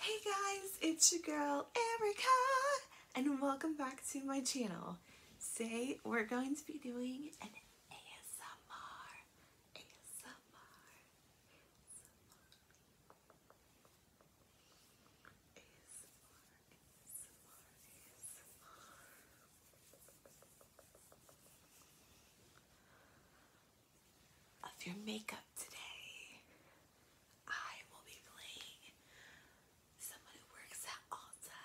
Hey guys, it's your girl Erica and welcome back to my channel. Today we're going to be doing an ASMR, ASMR of your makeup today. I will be playing someone who works at Ulta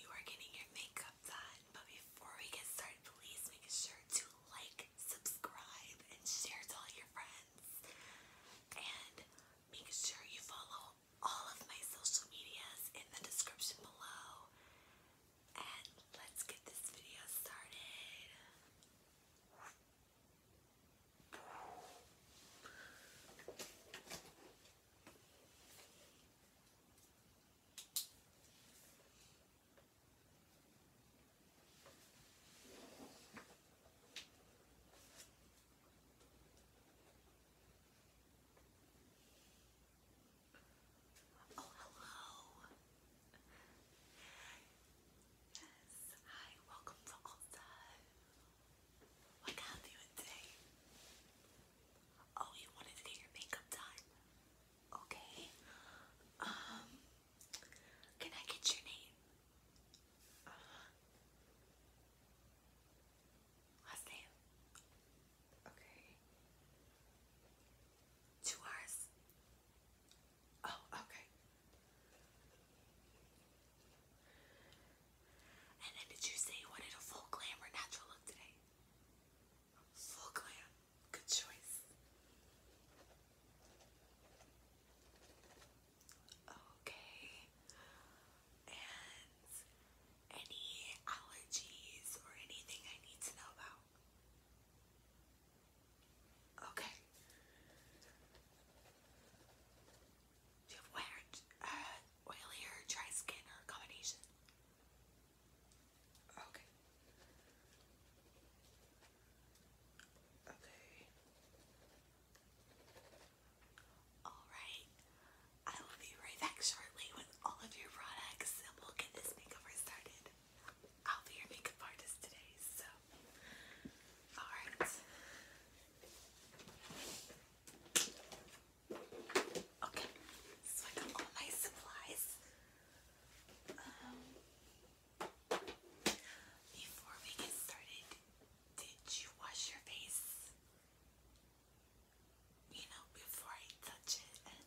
you are getting your makeup done. But before we get started, please make sure to like, subscribe, and share to all your friends. And make sure you follow all of my social medias in the description below and let's get this video started. Oh, hello. Yes, hi, welcome to Ulta. What can I do today? Oh, you wanted to get your makeup done? Okay. Um, can I get your name? Last name? Okay. Two hours? Oh, okay. And then did you say you wanted a full glam or natural look today? Full glam. Good choice. Okay. And any allergies or anything I need to know about? Okay. Do you have wear, uh, dry skin or combination? Okay. Okay. Alright. I will be right back shortly with all of your products and we'll get this makeover started. I'll be your makeup artist today, so. Alright. Okay, so I got all my supplies. Um, before we get started, did you wash your face? You know, before I touch it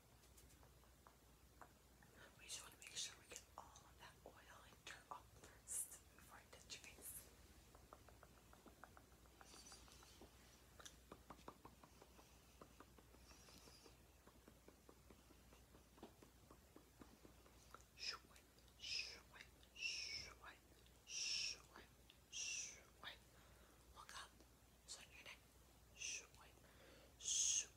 We just want to make sure we get all of that oil and dirt off first before I touch your face. Swipe, swipe, swipe, swipe, swipe. Look up. It's your neck. Swipe, swipe,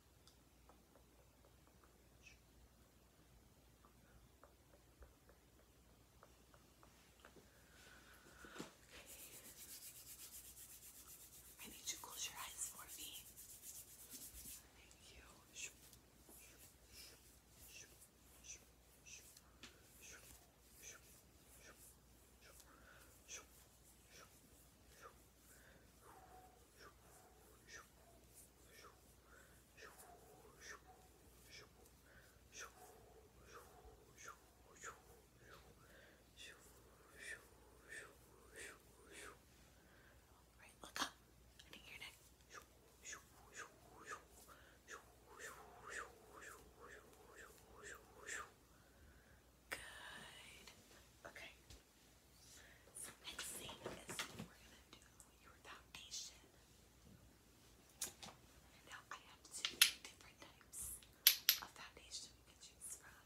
I need you to close your eyes for me. Thank you. Alright, look up. I need your neck. Good. Okay, so next thing is we're gonna do your foundation. Now I have two different types of foundation you can choose from.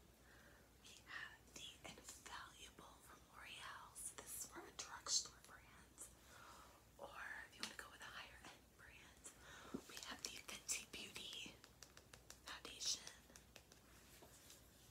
We have the Invaluable from L'Oreal. So this is for drugstore brand. Or if you want to go with a higher end brand, we have the Fenty Beauty Foundation.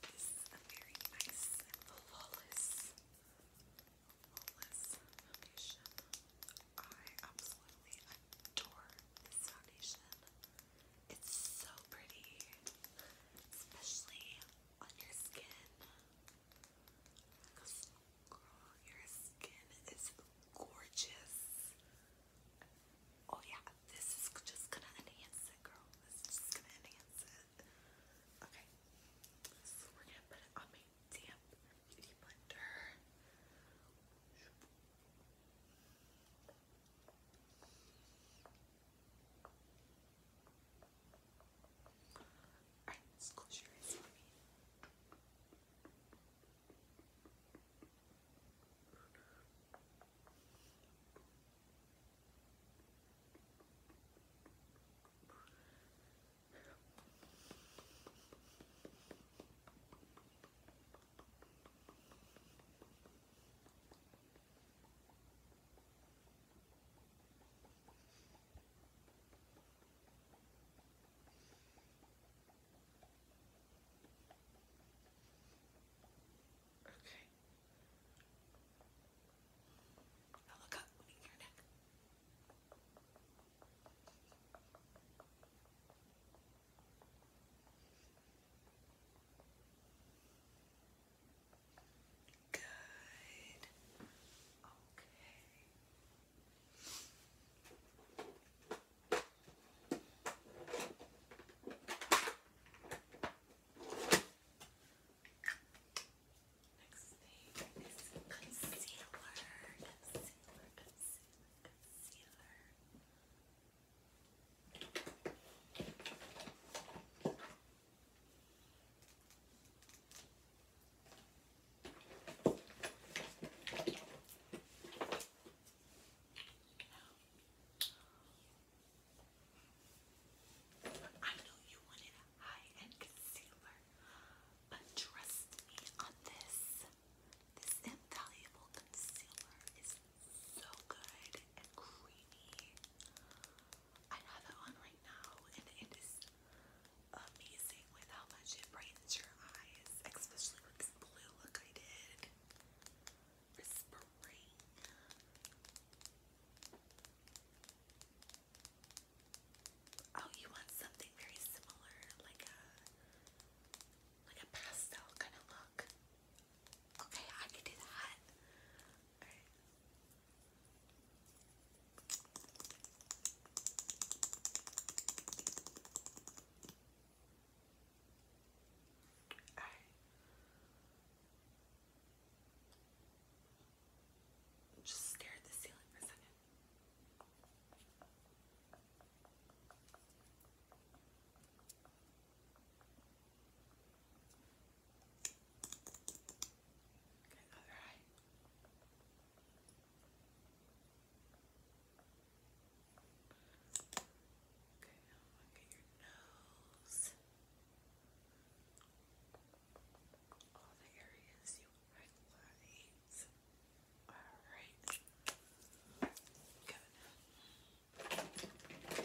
This is a very nice flawless, flawless foundation. I absolutely adore this foundation. It's so pretty, especially on your skin. Girl, your skin is gorgeous. Oh yeah, this is just gonna enhance it, girl. This is just gonna enhance it. Okay, we're gonna put it on my damp beauty blender. Alright, let's close your eyes for me. Okay. Now look up, lean your neck. Okay. Good. Okay. Next thing is concealer. Concealer, concealer, concealer. I know you wanted a high-end concealer, but trust me on this. This invaluable concealer is so good and creamy. I have it on right now and it is amazing with how much it brightens your eyes, especially with this blue look I did Oh, you want something very similar, like a like a pastel kind of look. Okay, I can do that. All right. Just stare the ceiling for a second. Okay, other eye. Okay, now I'm gonna get your nose. All the areas you highlight. Alright. Good. Okay.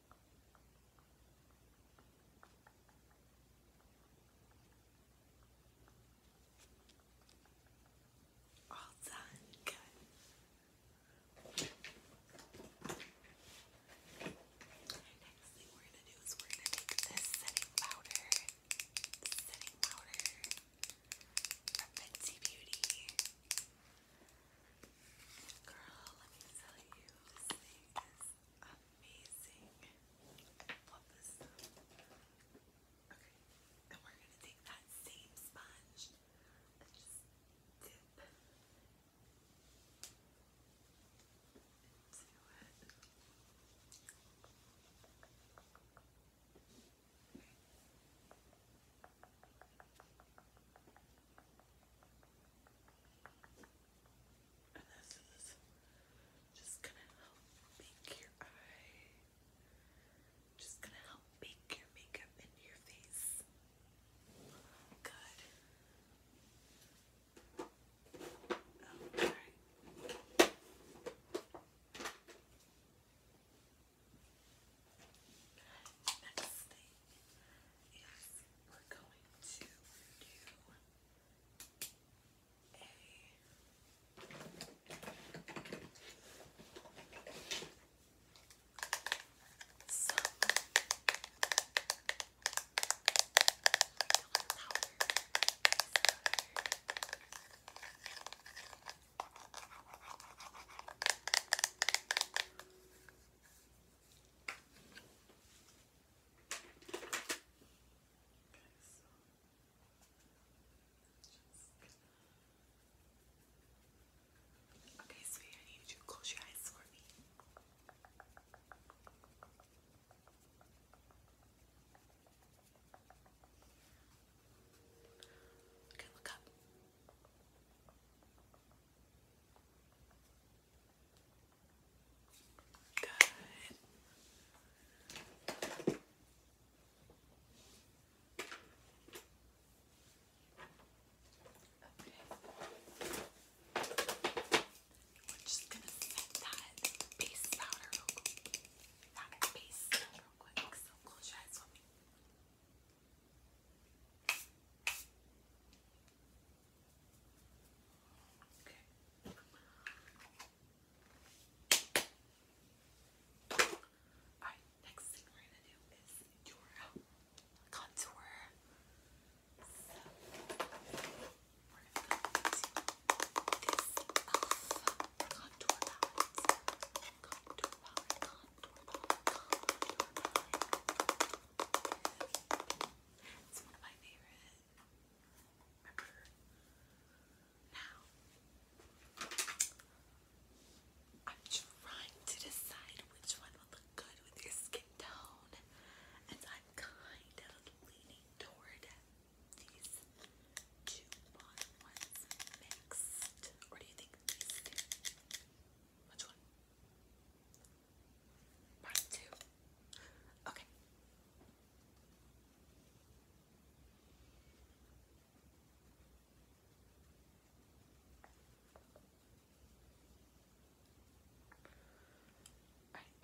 All done. Good. Next thing we're gonna do is we're gonna make this setting powder. Setting powder from Fenty Beauty. Girl, let me tell you, this thing is amazing. Pop this Okay, and we're gonna take that same sponge dip into it. Okay. And this is just gonna help make your eye, just gonna help make your makeup into your face. Good. Okay. Oh, Next thing is we're going to do a some Powder. Okay, sweetie, I need you to close your eyes for me. Okay, look up. Good. Okay. We're just gonna set that base powder That base real quick. So close your eyes Okay. Alright, next thing we're gonna do is your contour. So we're gonna go this elf uh, contour palette. Contour contour it's one of my favorite. Remember now. I'm trying to decide which one will look good with your skin tone, and I'm kind of leaning toward these two bottom ones mixed. Or do you think these which one? two. Okay. Alright,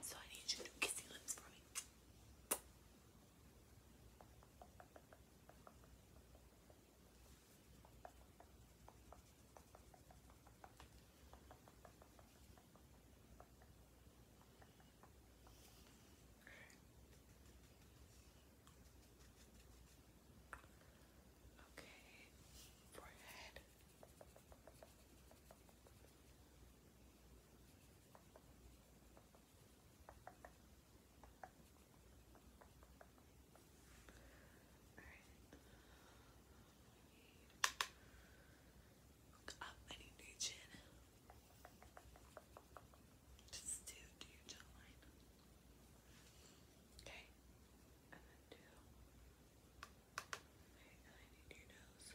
so I need you to kiss lips for me. Okay, forehead. Okay. Alright. Look I need new chin. Just do, do your jawline. Okay. And then do. I need your nose.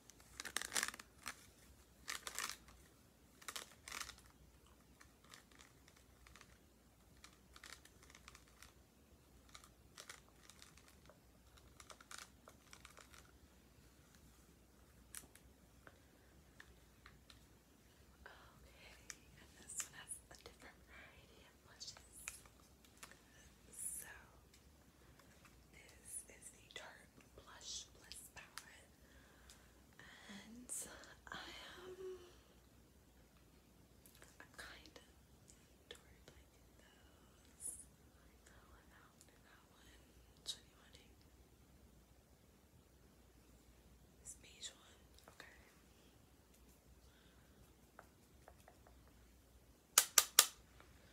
and this one has a different variety So, this is the dark Blush Bliss palette. And I am I'm kinda toward like that one, that one, that one. This beige one. Okay.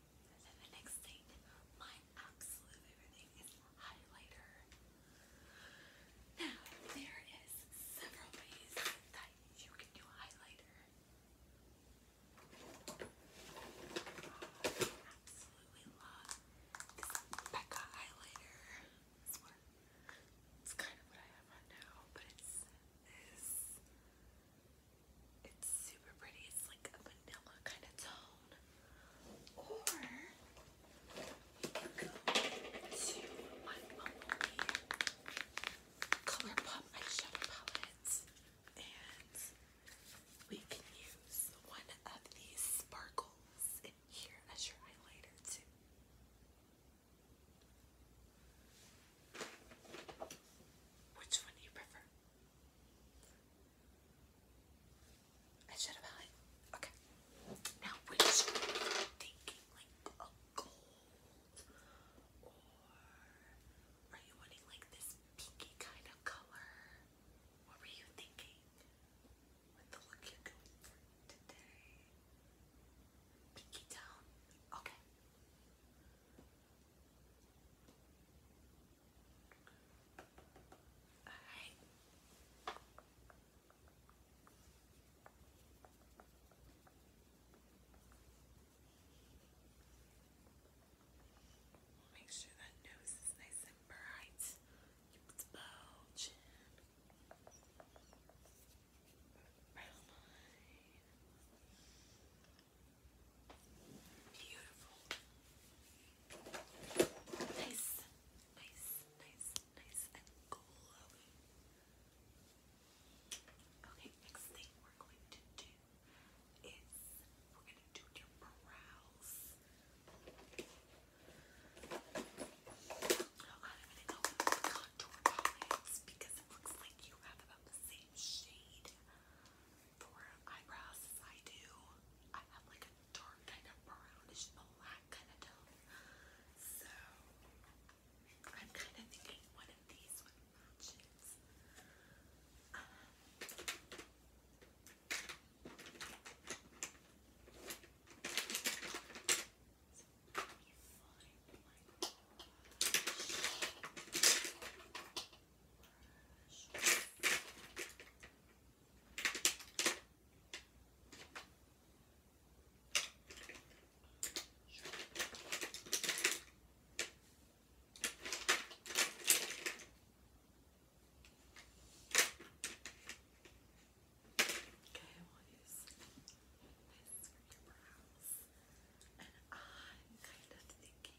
And then the next thing, my absolute favorite thing is highlighter. Now, there is several ways that you can do highlighter. I absolutely love this Becca highlighter. It's kind of what I have on now, but it's this. It's super pretty. It's like a vanilla kind of tone or you go to my Bumblebee Colourpop eyeshadow palette and we can use one of these sparkles in here as your highlighter too. Which one do you prefer? I said have it. Okay. Now, which thinking like a gold, or are you wanting like this pinky kind of color? What were you thinking with the look you're going for today? Pinky down. Okay. All right. Make sure that nose is nice and bright. Keep its bulge. Brown line. Beautiful. Nice, nice, nice, nice, and glowy. Okay, next thing we're going to do is we're going to do your brows. Oh, I'm going to contour palettes because it looks like you have about the same shade for eyebrows I do. I have like a dark kind of brownish black kind of tone. So I'm kind of thinking one of these would matches. Um, so let my brush. I will use this for your brows. And I'm kind of thinking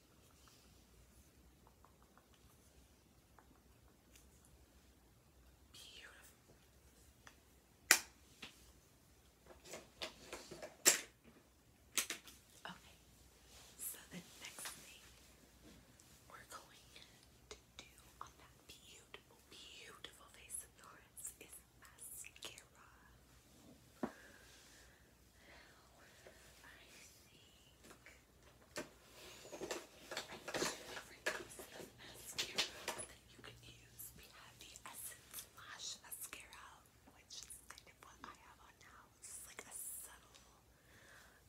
Beautiful. Okay, so the next thing we're going to do on that beautiful, beautiful face of yours is mascara you can use. We have the Essence Lash Mascara, which is kind of what I have on now. It's like a subtle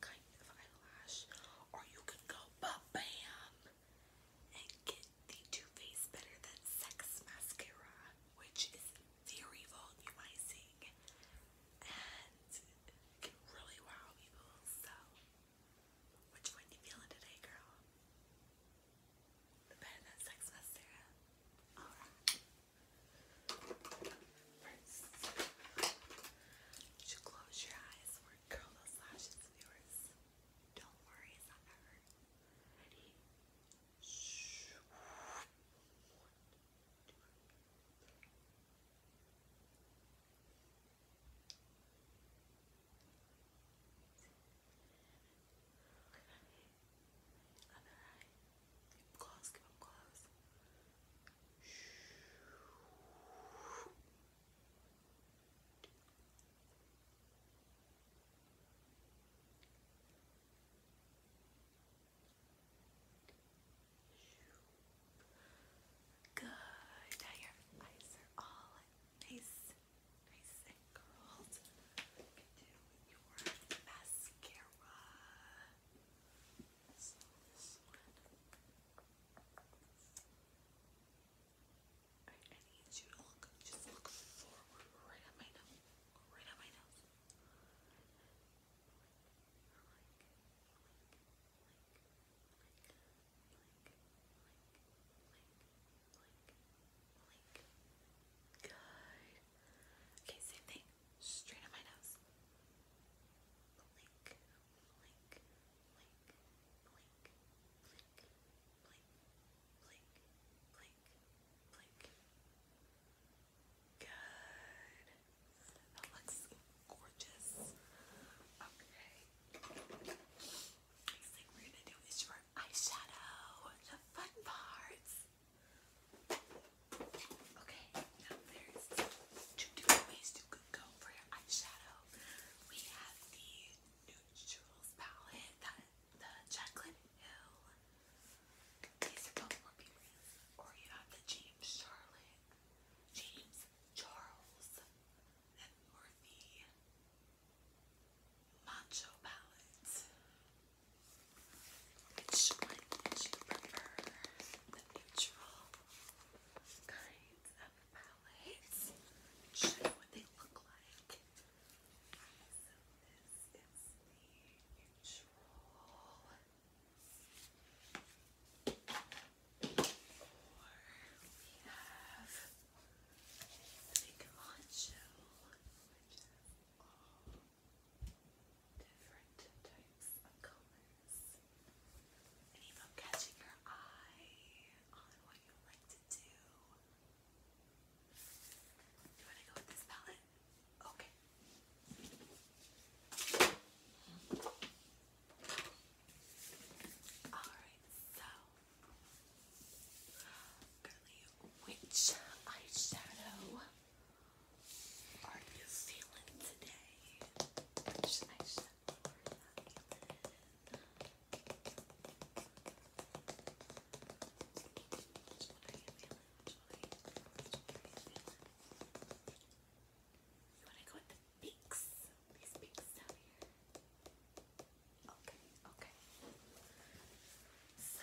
kind of eyelash. Or you can go bam and get the Too Faced Better Than Sex Mascara, which is theory vault you might sing and can really wow people. So, which one you feeling today, girl? Better than Sex Mascara? Alright. First, you close your eyes curl those lashes of Don't worry, it's not ever. Ready? Shh. I'm alright. Keep close, keep them close. Good. Good. Now your eyes are all nice, nice and curled. You do your mascara. I need you to look, just look forward right on my nose, right on my nose. Good. Okay, same thing. Straight on my nose blink, blink. Good. That looks gorgeous. Okay. Next thing we're gonna do is your eyeshadow. The fun parts. Okay, there's two different ways you could go for your eyeshadow. We have the neutrals palette the Jaclyn Hill. These are both periods. Or you have the James Charlotte, James Charles, and or the Macho Palette. Which one would you prefer? The neutral kinds of palettes. Show you what they look like. So this is the neutral. we have big honcho, which has all different types of colors. And if catching your eye on what you like to do, you want to go with this palette? Okay. Alright, so girly, um, which eyeshadow are you feeling today? Just you wanna go with the beaks? These beaks down here. Okay, okay. So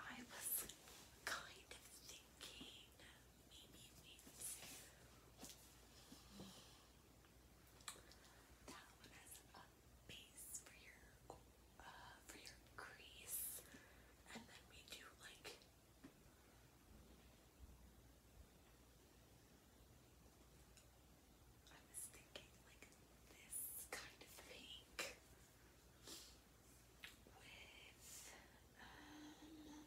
I was kind of thinking maybe we that one has a base for your uh, for your crease, and then we do like I was thinking like this kind of pink with um,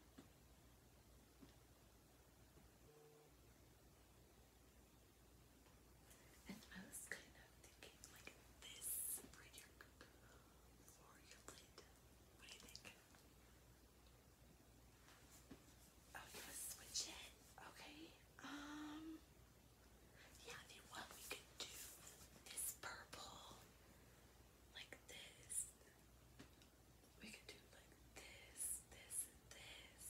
and I was kind of thinking like this for your for plate. What do you think? Oh, you wanna switch it? Okay. Um yeah, then what we could do this purple like this. We could do like this, this, this.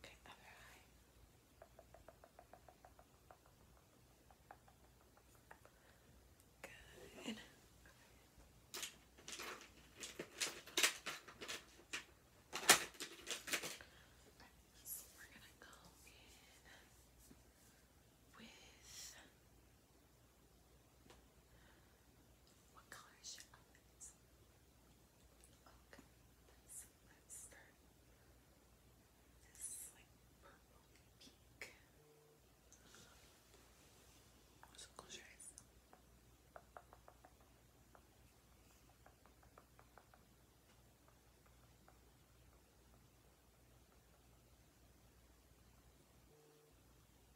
Okay, other eye. Good. we're gonna go in with what color is your Okay, let's, start this like purple close your eyes.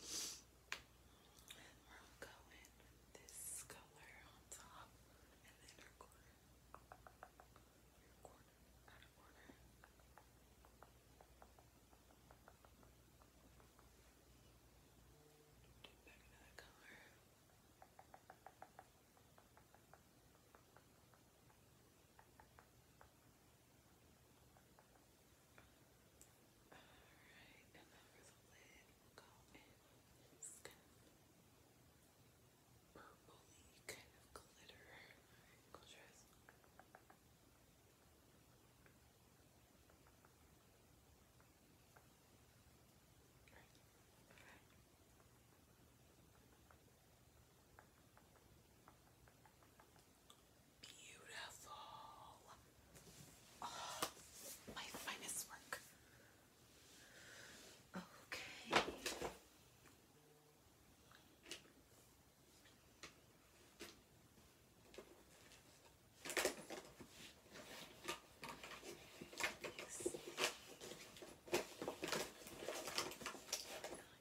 And we'll go this color on top and the inner corner. Inner corner, outer corner. Do back another color. Alright, and then for the lid, we'll go purpley kind of glitter. Alright, close Beautiful. Oh, my finest work. Okay.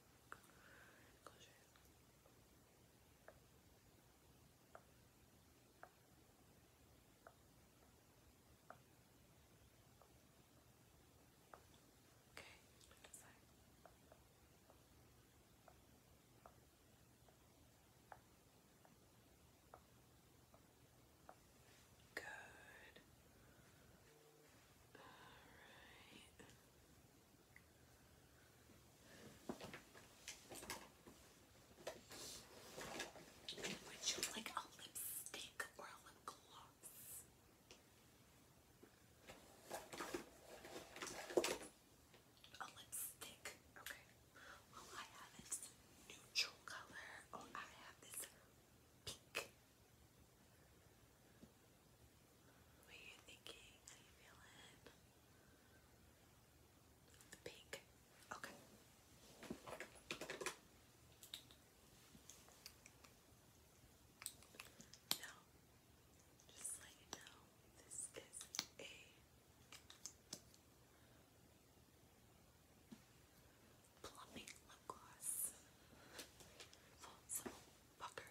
Close your eyes. Okay, put it aside. Good. All right. Would you like a lipstick or a lip gloss? A lipstick. Okay. Well, I have this neutral color. Oh, I have this pink. What are you thinking? How you feel The pink. Okay. Now, just let you know, this is a plumping lip gloss. Full simple pucker.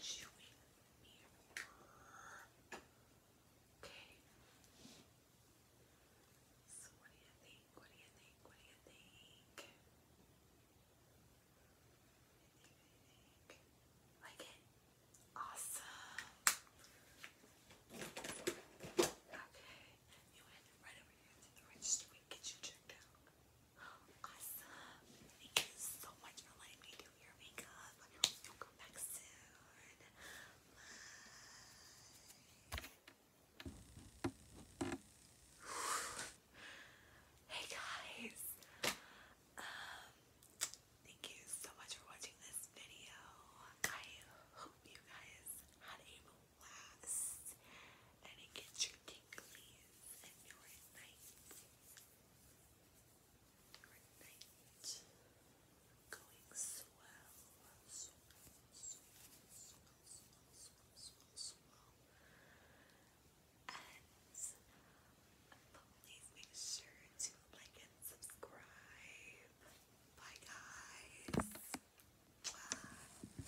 chewing Okay. So what do you think? What do you think? What do you think? Like it? Awesome. Okay. You head right over here to the register. get you checked out. Awesome. Thank you so much for letting me do your makeup. you'll come back soon. Hey guys. Um thank you so much for watching this video. I hope you guys had a lasts and it gets your tinglies and your nights. Your night going swell, swell, swell, swell, swell, swell, swell. And please make sure to like and subscribe. Bye guys. Bye.